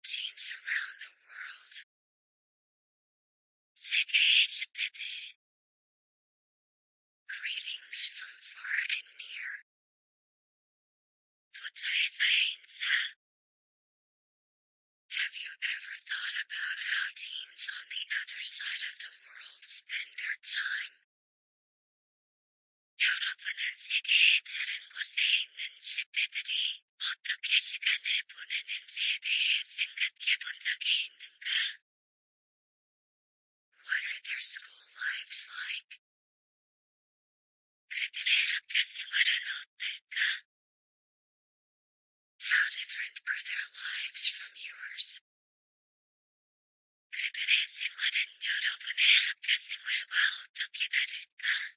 teens around the world. Greetings from far and near. Have you ever thought about how teens on the other side of the world spend their time? 여러분은 세계에 다른 곳에 있는 집배들이 what are their school lives like? 그들의 학교 생활은 어떨까? How different are their lives from yours? 그들의 생활은 여러분의 학교 생활과 어떻게 다를까?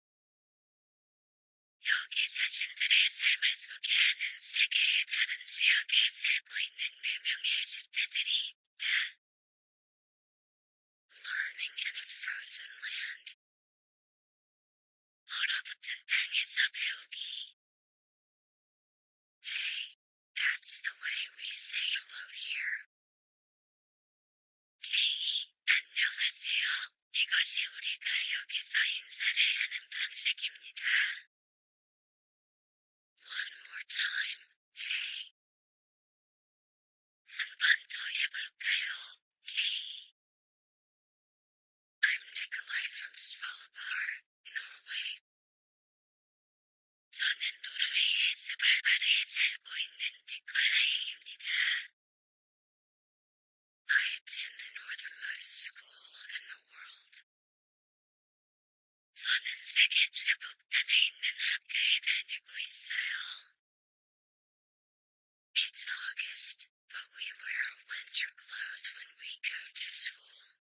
여기 사진들의 삶을 소개하는 세계의 다른 지역에 살고 있는 네 명의 10대들이 있다. Learning in a frozen land. 얼어붙은 땅에서 배우기. Hey, that's the way we say hello here. 케이, 안녕하세요. 이것이 우리가 여기서 인사를 하는 방식입니다. One more time, hey. 한번 더 해볼까요, K? I'm Nikolai from Svalbard, Norway. 저는 노르웨이의 스발바르에 살고 있는 니콜라이입니다. I attend the northernmost school in the world. 저는 세계 제북단에 있는 학교에 다니고 있어요. It's August, but we wear winter clothes when we go to school.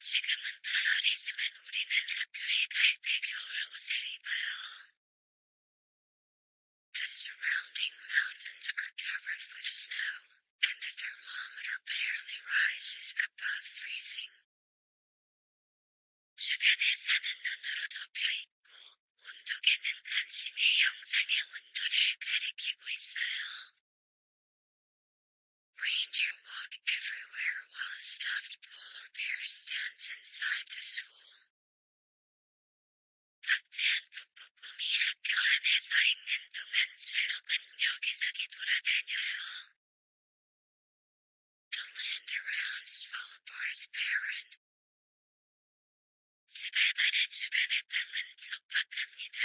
지금은 8월이지만 우리는 학교에 갈때 겨울 옷을 입어요. The surrounding mountains are covered with snow, and the thermometer barely rises above freezing. 주변에 산은 눈으로 덮여 있고, 온도계는 간신히 영상의 온도를 가리키고 있어요. Ranger walk everywhere while a stuffed polar bear stands inside the school. The land around Svalbard is barren. 스발바르 주변의 땅은 촉박합니다.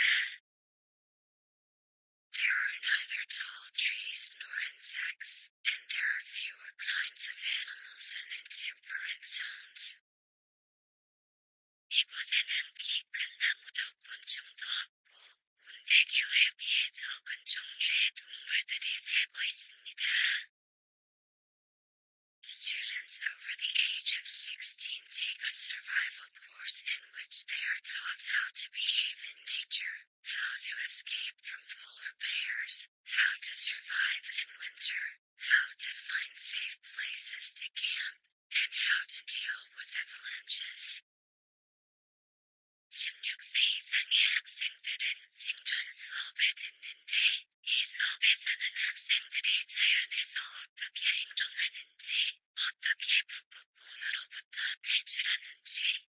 There are neither tall trees nor insects and there are fewer kinds of animals than in temperate zones. 이곳에는 키큰 나무도 곤충도 없고 온대교에 비해 적은 종류의 동물들이 살고 있습니다. Students over the age of 16 take a survival course in which they are taught how to behave in nature, how to escape from polar bears, how to survive in winter, how to find safe places to camp, and how to deal with avalanches. 16세 이상의 학생들은 생존 수업을 듣는데, 이 수업에서는 학생들이 자연에서 어떻게 행동하는지, 어떻게 북극곰으로부터 탈출하는지,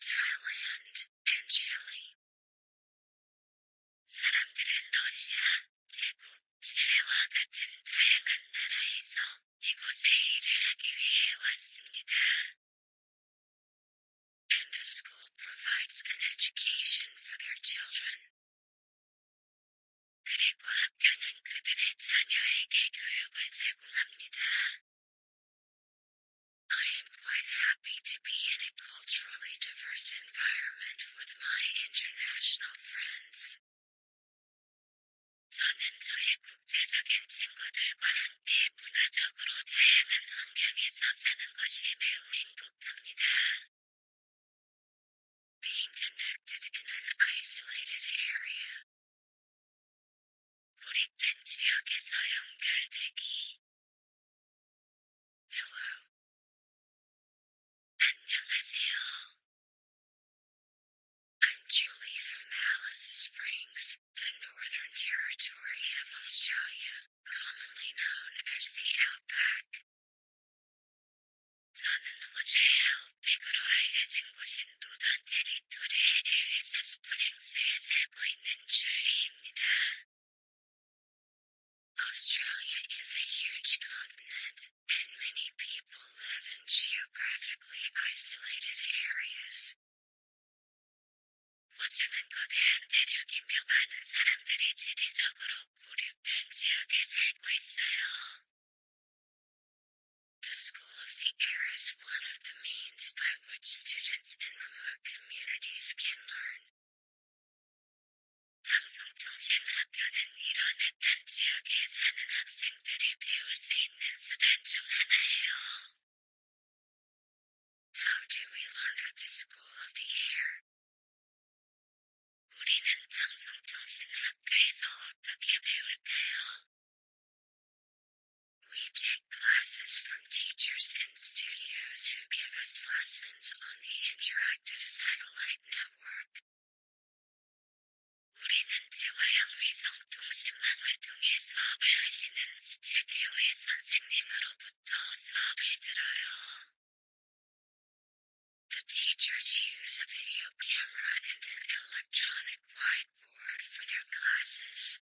Thailand, and Chile. 사람들은 러시아, 태국, 칠레와 같은 다양한 나라에서 이곳에 일을 하기 위해 왔습니다. And the school provides an education for their children. 그리고 학교는 그들의 자녀에게 교육을 제공합니다. I am quite happy to be in a culturally diverse environment with my international friends. Being connected in an isolated area 고립된 지역에서 연결되기. Hello. 안녕하세요. I'm Julie from Alice Springs, the Northern Territory of Australia, commonly known as the Outback. 노던 테리 미투르의 엘리스 스프링스에 살고 있는 줄리입니다. Australia is a huge continent, and many people live in geographically isolated areas. The School of the Air is one of the means by which which students in remote communities can learn. How do we learn at the school of the air? 우리는 방송통신학교에서 어떻게 배울까요? We take classes from teachers in studios who give us lessons on the interactive satellite network. The teachers use a video camera and an electronic whiteboard for their classes.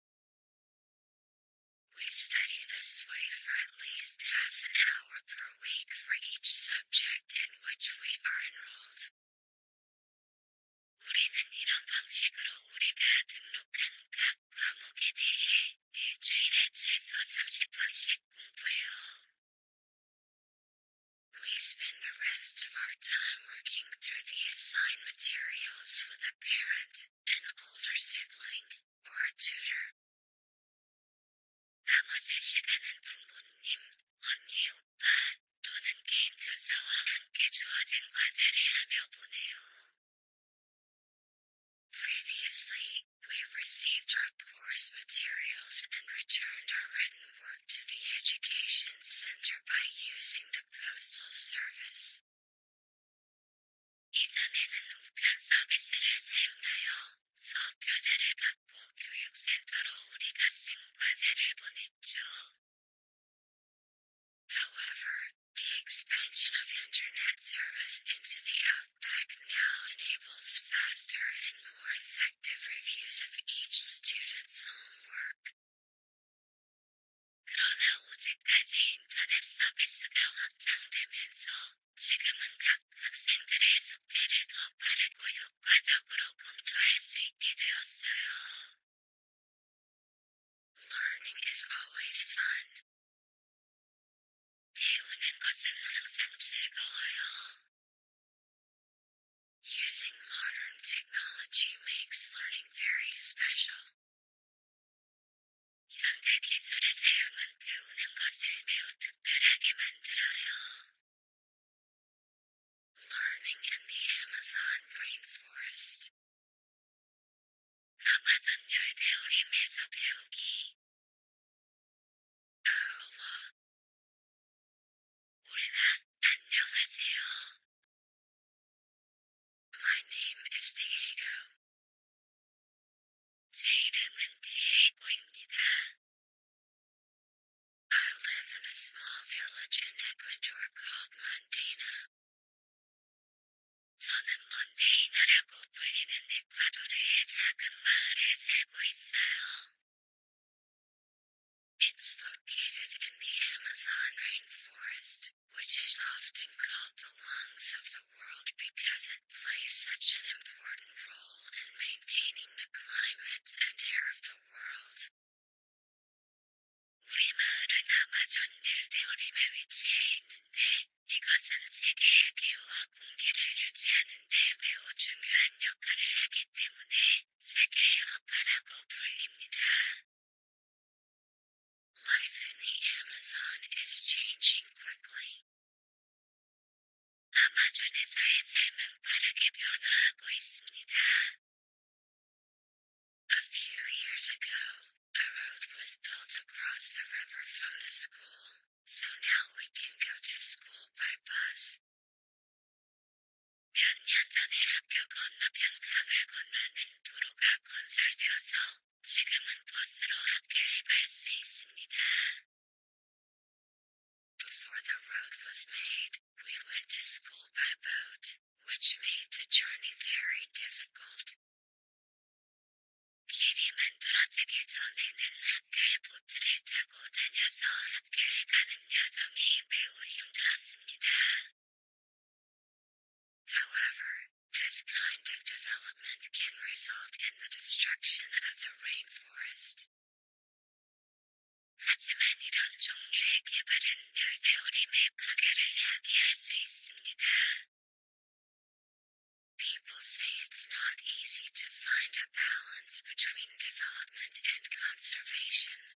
We study this way for at least half an hour per week for each subject in which we are enrolled. We spend the rest of our time working through the assigned materials with a parent, an older sibling, or a tutor. 나머지 시간은 부모님, 언니, 오빠, 또는 개인 교사와 함께 주어진 과제를 하며 보내요. Previously, we received our course materials and returned our written work to the education center by using the postal service. 이전에는 the expansion of internet service into the outback now enables faster and more effective reviews of each student's homework. 그러나 오제까지 인터넷 서비스가 확장되면서 지금은 각 학생들의 숙제를 더 빠르고 효과적으로 검토할 수 있게 되었어요. Learning is always fun. 배우는 것은 항상 즐거워요. Using modern technology makes learning very special. 현대 기술의 사용은 배우는 것을 매우 특별하게 만들어요. Learning in the Amazon Rainforest. 아마존 열대우림에서 배우기. 아울러. 우리나 안녕하세요. My name is Diego. 제 이름은 Diego입니다. I live in a small village in Ecuador called Mondana. 저는 먼데이나라고 It's located in the Amazon rainforest which is often called the lungs of the world because it plays such an important role in maintaining the climate and air of the world. 우리 마을은 아마존 델데오림에 위치해 있는데 이것은 세계의 기후와 공기를 유지하는 데 매우 중요한 역할을 하기 때문에 세계의 허파라고 불립니다. Life in the Amazon is changing quickly. A few years ago, a road was built across the river from the school, so now we can go to school by bus. Before the road was made, we went to school by boat, which made the journey very difficult. 길이 만들어지기 전에는 학교에 보트를 타고 다녀서 학교에 가는 여정이 매우 힘들었습니다. However, this kind of development can result in the destruction of the rainforest. People say it's not easy to find a balance between development and conservation.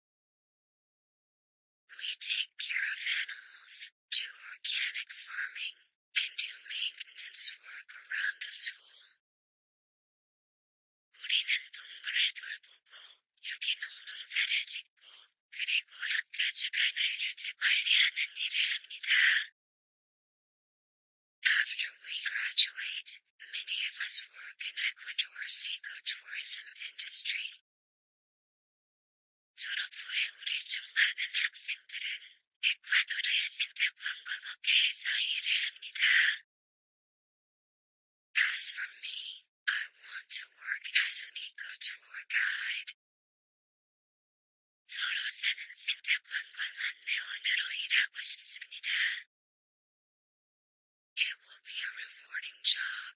We take care of animals, do organic farming, and do maintenance work around the school. After we graduate, Many of us work in Ecuador's ecotourism industry. 졸업 후에 우리 중 많은 학생들은 에콰도르의 생태관광업계에서 일을 합니다. As for me, I want to work as an eco-tour guide. It will be a rewarding job.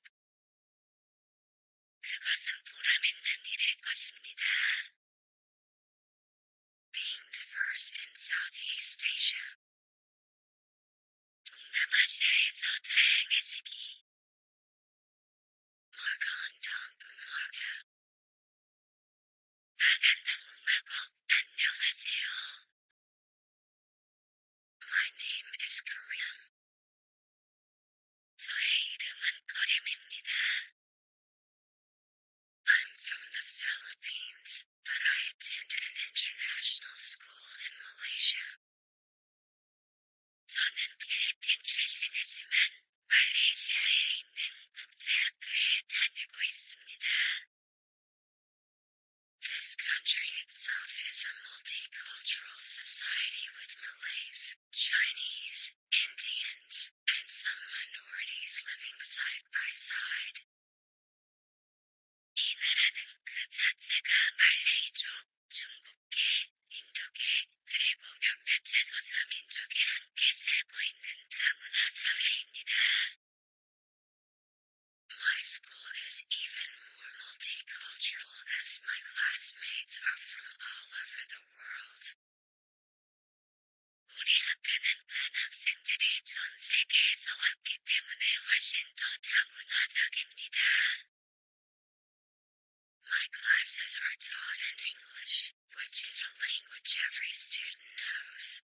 Being diverse in Southeast Asia. 동남아시아에서 다양해지기. 마간당 음악아. 마간당 음악어 안녕하세요. My name is Korean. 거림입니다. I'm from the Philippines, but I attend an international school in Malaysia. This country itself is a multicultural society with Malays, Chinese, Indians, and some minorities living side by side. 이그 자체가 말레이족, 중국계, 인도계, 그리고 몇몇의 소수민족이 함께 살고 있는 다문화 사회입니다. My school is even more multicultural as my classmates are from all over the world. 우리 학교는 반 학생들이 전 세계에서 왔기 때문에 훨씬 더 다문화적입니다. My classes are taught in English, which is a language every student knows.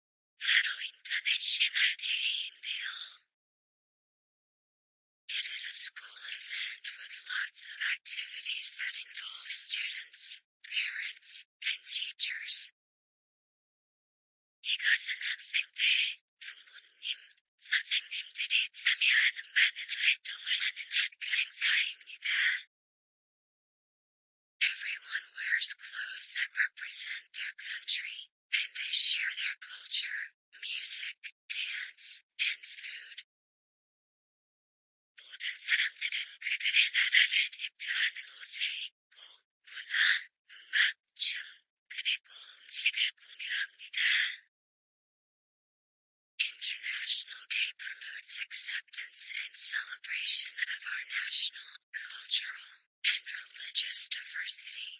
It is a school event with lots of activities that involve students, parents, and teachers. Everyone wears clothes that represent their country and they share their culture, music, dance, and food. International Day promotes acceptance and celebration of our national, cultural, and religious diversity.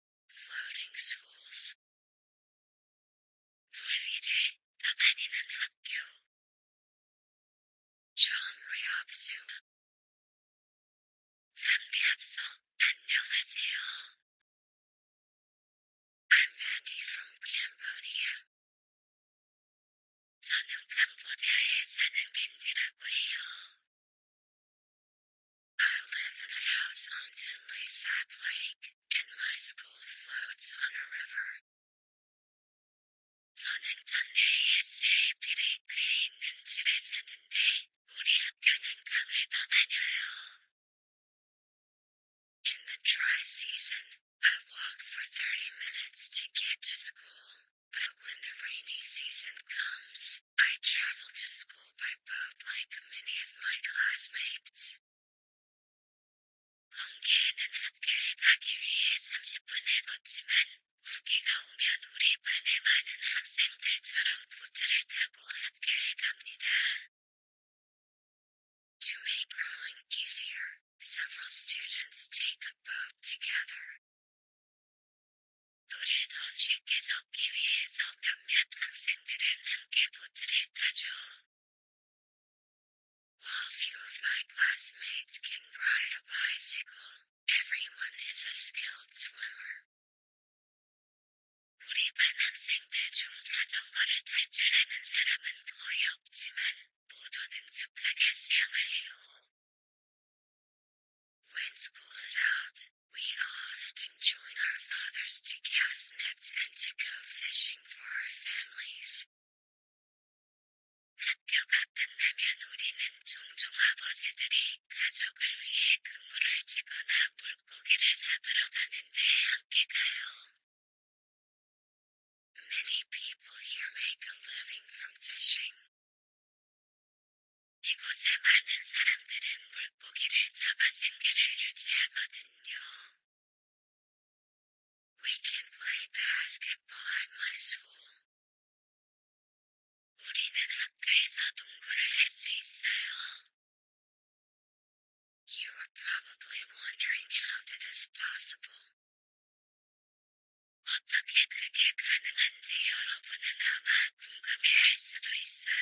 floating schools. 물위를 떠다니는 학교. Genre 합숙. 잠비 합숙. 안녕하세요. I'm Patty from Cambodia. 저는 캄보디아에 사는 벤디라고 I live in a house on Tinley Sap Lake and my school floats on a river. 저는 당내의 SAP를 그에 있는 집에 사는데 우리 학교는 강을 떠다녀요. In the dry season, I walk for 30 minutes to get to school, but when the rainy season comes, I travel to school by boat like many of my classmates. 성게에는 학교에 가기 위해 30분을 걷지만 우기가 오면 우리 반의 많은 학생들처럼 보트를 타고 학교에 갑니다. To make rowing easier, several students take a boat together. 노를 더 쉽게 적기 위해서 몇몇 학생들은 함께 보트를 타죠. While few of my classmates can ride a bicycle, everyone is a skilled swimmer. When school is out, we often join our fathers to cast nets and to go fishing for our families. Many people here make a living from fishing. 이곳에 많은 사람들은 물고기를 잡아 생계를 유지하거든요. We can play basketball at my school. 우리는 학교에서 농구를 할 수 있어요. You are probably wondering how that is possible. 어떻게 그게 가능한지 여러분은 아마 궁금해할 수도 있어요.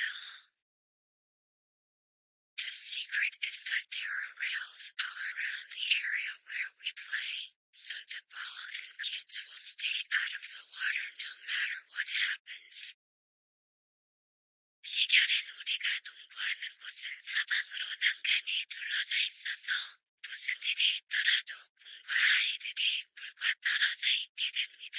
The secret is that there are rails all around the area where we play, so the ball and kids will stay out of the water no matter what happens. 비결은 우리가 농구하는 곳은 사방으로 난간이 둘러져 있어서 무슨 일이 있더라도 공과 아이들이 물과 떨어져 있게 됩니다.